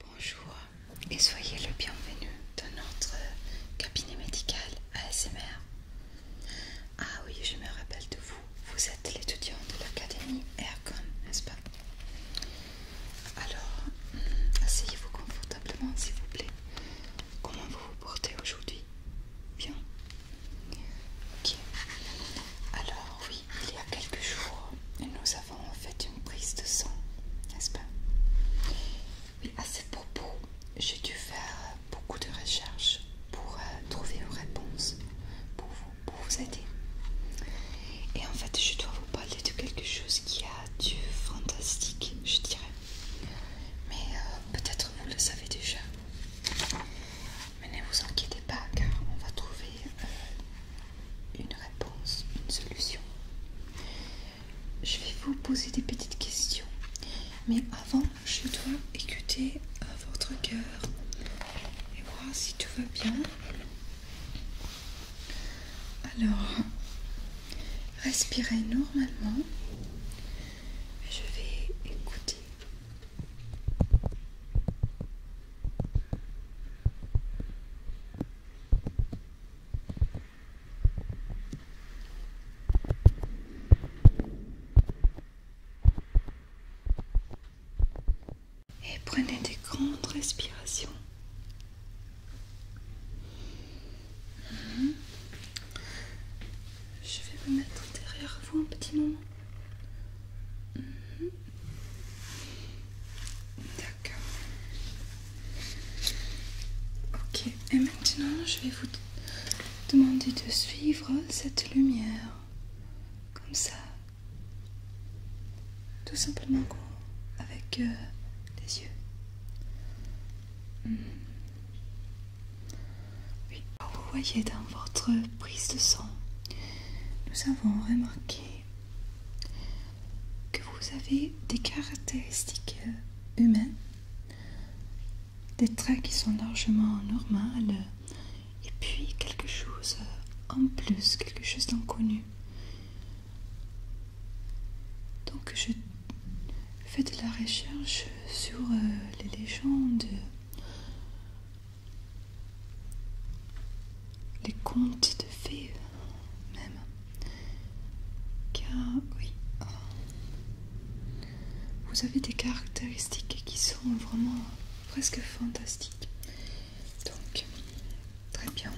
Bonjour et soyez le bienvenu dans notre cabinet médical ASMR. Ah oui, je me rappelle de vous. Vous êtes l'étudiant de l'académie Aircon, n'est-ce pas Alors, hmm, asseyez-vous confortablement, s'il vous plaît. Comment vous vous portez aujourd'hui Bien Ok. Alors oui, il y a quelques jours, nous avons fait une prise de sang, n'est-ce pas à ce propos, j'ai dû faire beaucoup de recherches pour euh, trouver une réponse pour vous, vous aider. Et en fait, je dois vous parler de quelque chose qui a du fantastique, je dirais. Mais euh, peut-être vous le savez déjà. Mais ne vous inquiétez pas car on va trouver euh, une réponse, une solution. Je vais vous poser des petites questions. Mais avant, je dois écouter euh, votre cœur et voir si tout va bien. Alors, respirez normalement. Je vais écouter. Et prenez des grandes respirations. Mhm. Je vais me mettre derrière vous un petit moment. Mhm. D'accord. Ok, et maintenant je vais vous demander de suivre cette lumière. Comme ça. Tout simplement avec euh, les yeux. Mhm vous voyez dans votre prise de sang, nous avons remarqué que vous avez des caractéristiques humaines, des traits qui sont largement normaux, et puis quelque chose en plus, quelque chose d'inconnu. Donc je fais de la recherche sur euh, les légendes, les contes de fées même. Car oui, vous avez des caractéristiques qui sont vraiment presque fantastiques. Donc, très bien.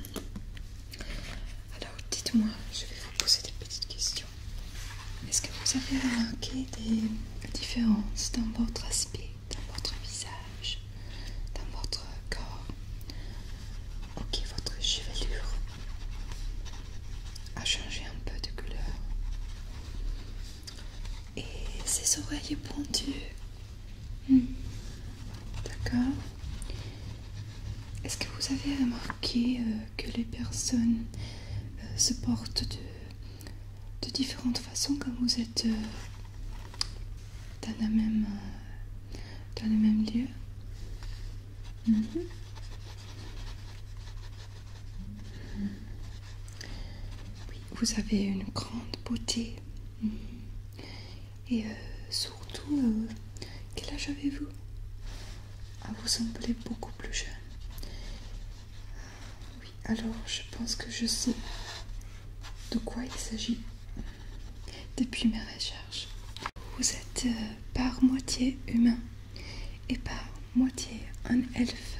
Alors dites-moi, je vais vous poser des petites questions. Est-ce que vous avez remarqué des différences dans votre aspect, dans votre visage, dans votre corps Ok, votre chevelure a changé un peu de couleur. Et ses oreilles pendues. Hmm. D'accord. Est-ce que vous avez remarqué euh, que les personnes euh, se portent de, différentes façons quand vous êtes euh, dans, la même, dans le même lieu mm-hmm. Oui, vous avez une grande beauté. Mm-hmm. Et euh, surtout, euh, quel âge avez-vous ah, Vous semblez beaucoup plus jeune. Oui, alors je pense que je sais de quoi il s'agit depuis mes recherches. Vous êtes euh, par moitié humain et par moitié un elfe.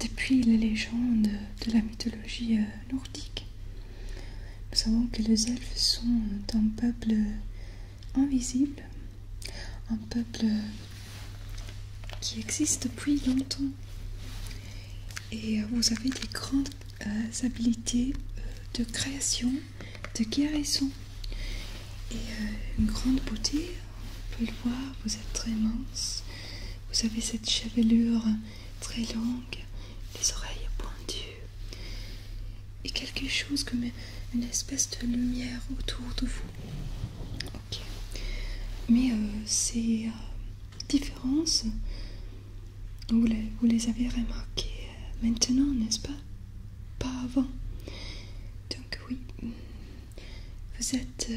depuis les légendes de la mythologie nordique, nous savons que les elfes sont un peuple invisible, un peuple qui existe depuis longtemps. Et vous avez des grandes euh, habilités euh, de création, de guérison et euh, une grande beauté. On peut le voir, vous êtes très mince. Vous avez cette chevelure très longue, les oreilles pointues, et quelque chose comme une espèce de lumière autour de vous. Ok. Mais euh, ces euh, différences, vous les, avez remarquées euh, maintenant, n'est-ce pas Pas avant. Donc oui, vous êtes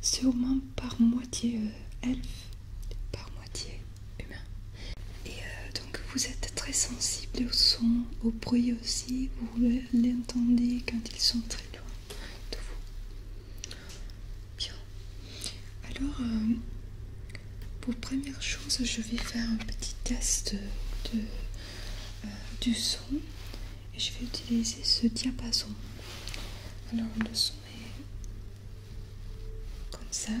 sûrement par moitié elf humain. Et euh, donc vous êtes très sensible au son, au bruit aussi, vous l'entendez quand ils sont très loin de vous. Bien. Alors, euh, pour première chose, je vais faire un petit test de, euh, du son et je vais utiliser ce diapason. Alors le son est comme ça.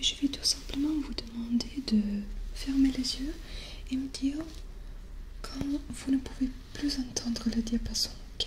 je vais tout simplement vous demander de fermer les yeux et me dire quand vous ne pouvez plus entendre le diapason. Ok.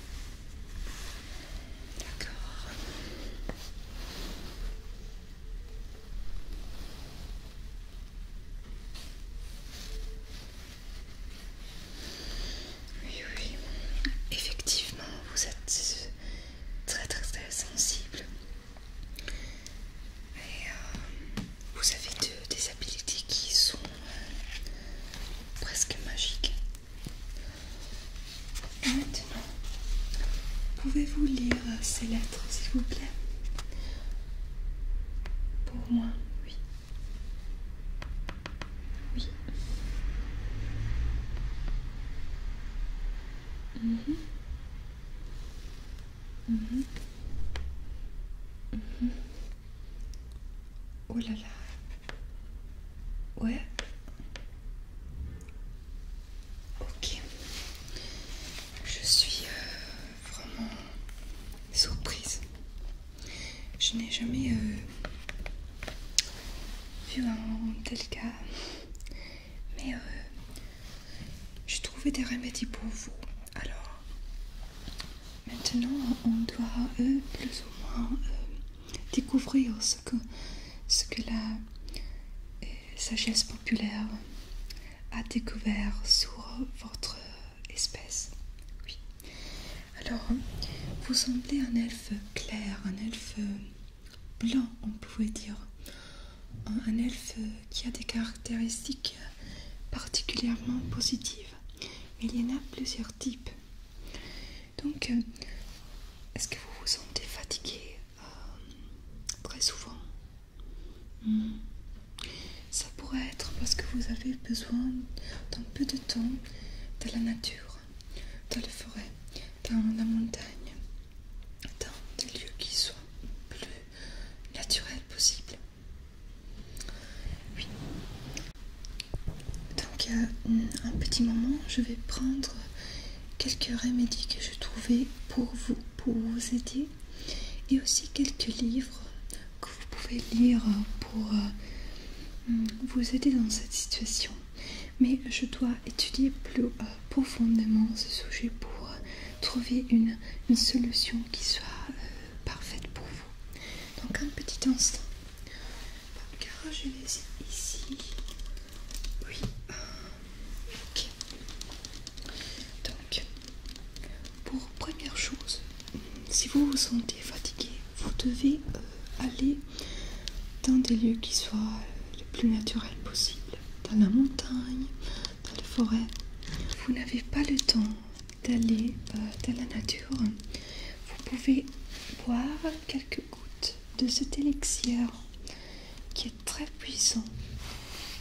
D'accord. Oui, oui, effectivement, vous êtes très très très sensible. Et euh, vous avez des habiletés qui sont euh, presque magiques. Maintenant, pouvez-vous lire ces lettres, s'il vous plaît Pour moi, oui. Oui. Mhm. mhm. mhm. Oh là là, Ouais. Ok. Je suis euh, vraiment surprise. Je n'ai jamais euh, vu un tel cas. Mais euh, j'ai trouvé des remédies pour vous. Alors, maintenant, on doit plus ou moins découvrir ce que, la euh, sagesse populaire a découvert sur votre espèce. Alors, vous semblez un elfe clair, un elfe blanc, on pouvait dire. Un, un elfe qui a des caractéristiques particulièrement positives. Il y en a plusieurs types. Donc, euh, est-ce que vous vous sentez fatigué euh, très souvent hmm. Ça pourrait être parce que vous avez besoin d'un peu de temps dans la nature, dans les forêts, dans la montagne, dans des lieux qui soient plus naturels possible. Donc, euh, un petit moment, je vais prendre quelques remédies que je trouvais pour vous, pour vous aider, et aussi quelques livres que vous pouvez lire pour euh, mm, vous aider dans cette situation. Mais je dois étudier plus euh, profondément ce sujet pour trouver une, solution qui soit parfaite pour vous. Donc un petit instant. je vais ici. Oui. Donc, pour première chose, si vous vous sentez fatigué, vous devez euh, aller dans des lieux qui soient les plus naturels possible, Dans la montagne, dans la forêt. Vous n'avez pas le temps d'aller dans euh, la nature, vous pouvez boire quelques gouttes de cet élixir qui est très puissant,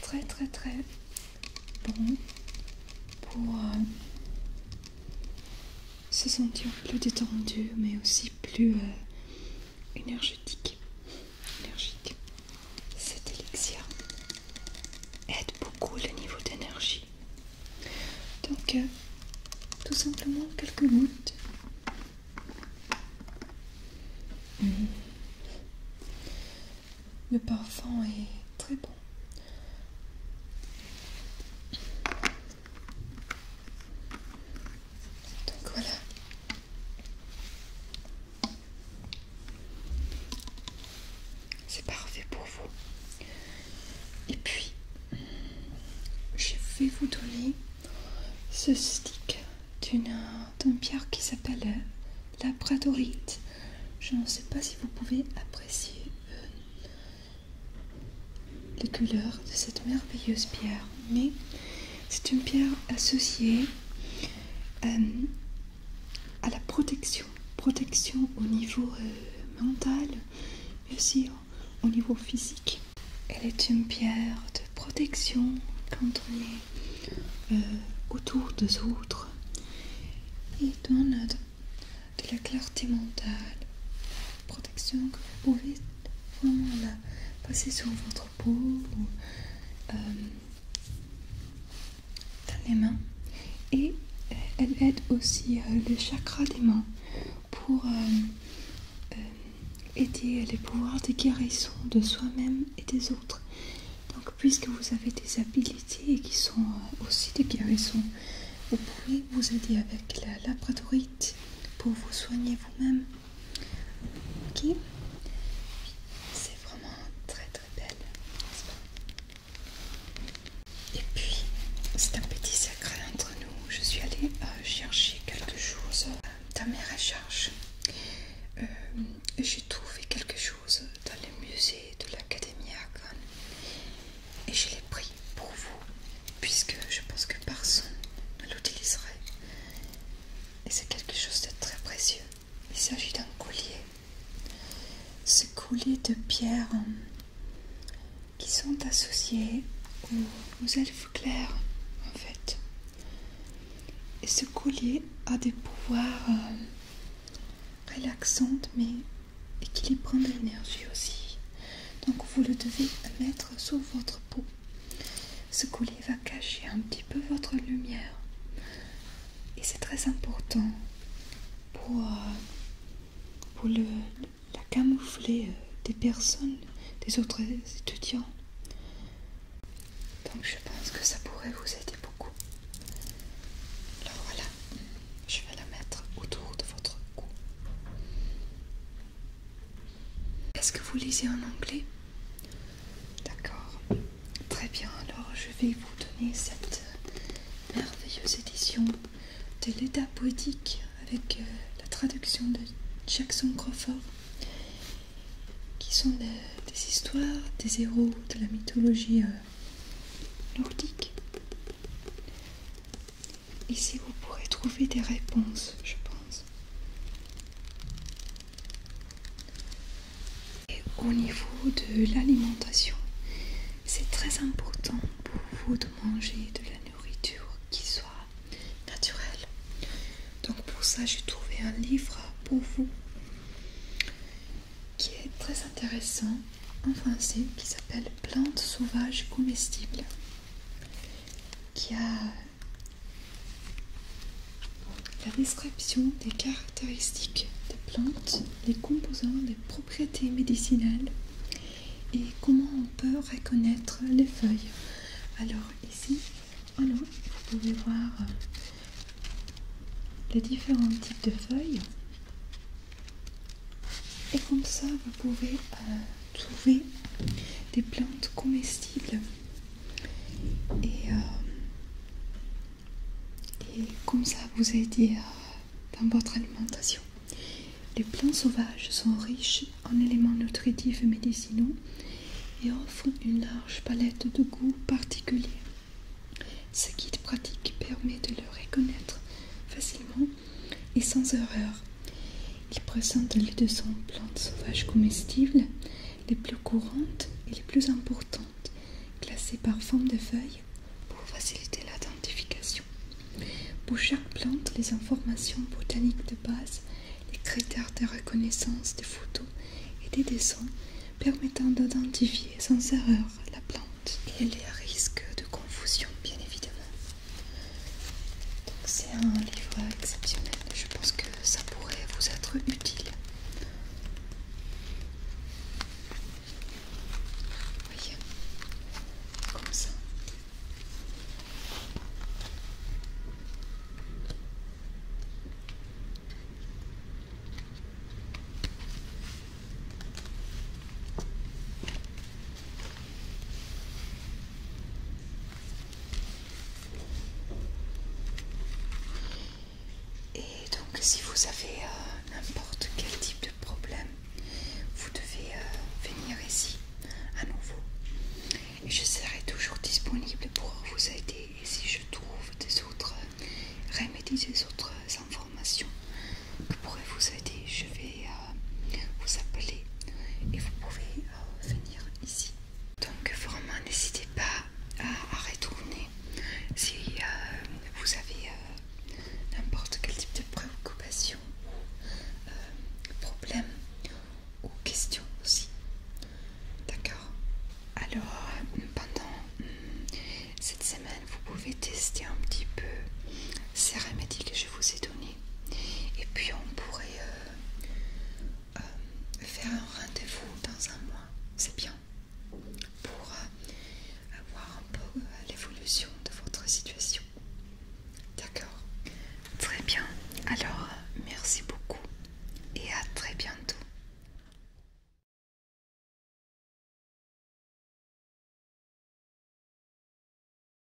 très très très bon pour euh, se sentir plus détendu mais aussi plus euh, énergétique. énergique. Cet élixir aide beaucoup le niveau d'énergie donc, euh, tout simplement quelques gouttes. Mhm. Le parfum est très bon. Donc voilà. C'est parfait pour vous. Et puis, je vais vous donner ce stick d'une pierre qui s'appelle la bradorite. Je ne sais pas si vous pouvez apprécier euh, les couleurs de cette merveilleuse pierre, mais c'est une pierre associée euh, à la protection, protection au niveau euh, mental, mais aussi au, niveau physique. Elle est une pierre de protection quand on est autour des autres et donne de, la clarté mentale, protection que vous pouvez vraiment la passer sur votre peau. Euh, dans les mains et euh, elle aide aussi euh, le chakra des mains pour euh, aider les pouvoirs de guérison de soi-même et des autres. Donc puisque vous avez des habilités qui sont aussi des guérisons, vous pouvez vous aider avec la labradorite pour vous soigner vous-même. Ok vraiment très très belle, Et puis, c'est un petit secret entre nous. Je suis allée euh, chercher quelque chose dans mes recherches. Euh, j'ai trouvé quelque chose dans les musées de l'Académie Argonne et je l'ai pris pour vous puisque je pense que personne ne l'utiliserait. Et c'est quelque chose de très précieux. Il s'agit d'un collier ce collier de pierres euh, qui sont associées aux, elfes clairs en fait. Et ce collier a des pouvoirs euh, relaxants mais équilibrant de l'énergie aussi. Donc vous le devez mettre sous votre peau ce collier va cacher un petit peu votre lumière et c'est très important pour, euh, la camoufler euh, des personnes, des autres étudiants. Donc je pense que ça pourrait vous aider beaucoup. Alors voilà, je vais la mettre autour de votre cou. Est-ce que vous lisez en anglais D'accord. Très bien, alors je vais vous donner cette euh, merveilleuse édition de l'état poétique avec euh, la traduction de Jackson Crawford, qui sont euh, des histoires des héros de la mythologie nordique. Ici, vous pourrez trouver des réponses, je pense. Et au niveau de l'alimentation, c'est très important pour vous de manger de la nourriture qui soit naturelle. Donc pour ça, j'ai trouvé un livre pour vous qui est très intéressant en français qui s'appelle Plantes sauvages comestibles qui a la description des caractéristiques des plantes, les composants, des propriétés médicinales et comment on peut reconnaître les feuilles. Alors ici, vous pouvez voir euh, les différents types de feuilles. Et comme ça, vous pouvez euh, trouver des plantes comestibles euh, et, comme ça vous aider euh, dans votre alimentation. Les plants sauvages sont riches en éléments nutritifs et médicinaux et offrent une large palette de goûts particuliers. Ce guide pratique permet de le reconnaître facilement et sans erreur. Il présente les 200 plantes sauvages comestibles les plus courantes et les plus importantes, classées par forme de feuilles pour faciliter l'identification. Pour chaque plante, les informations botaniques de base, les critères de reconnaissance des photos et des dessins permettant d'identifier sans erreur la plante. et les à risque de confusion, bien évidemment c'est un livre exceptionnel, je pense que ça pourrait vous être utile. comme ça. Et donc si vous avez euh, n'importe quel type de problème, vous devez euh, venir ici à nouveau. Et je serai toujours disponible pour vous aider. Et si je trouve des autres euh, remédies, des autres informations qui pourraient vous aider, je vais vous appeler et vous pouvez venir ici. Donc vraiment n'hésitez pas à, retourner si euh, vous avez euh, n'importe quel type de préoccupation ou euh, problème ou question aussi. D'accord Alors pendant hum, cette semaine vous pouvez tester un petit peu ces remédies que je vous ai donnés et puis on pourrait euh, euh, faire un rendez-vous dans un mois, c'est bien, pour voir euh, avoir un peu l'évolution de votre situation. D'accord Très bien. Alors, merci beaucoup et à très bientôt.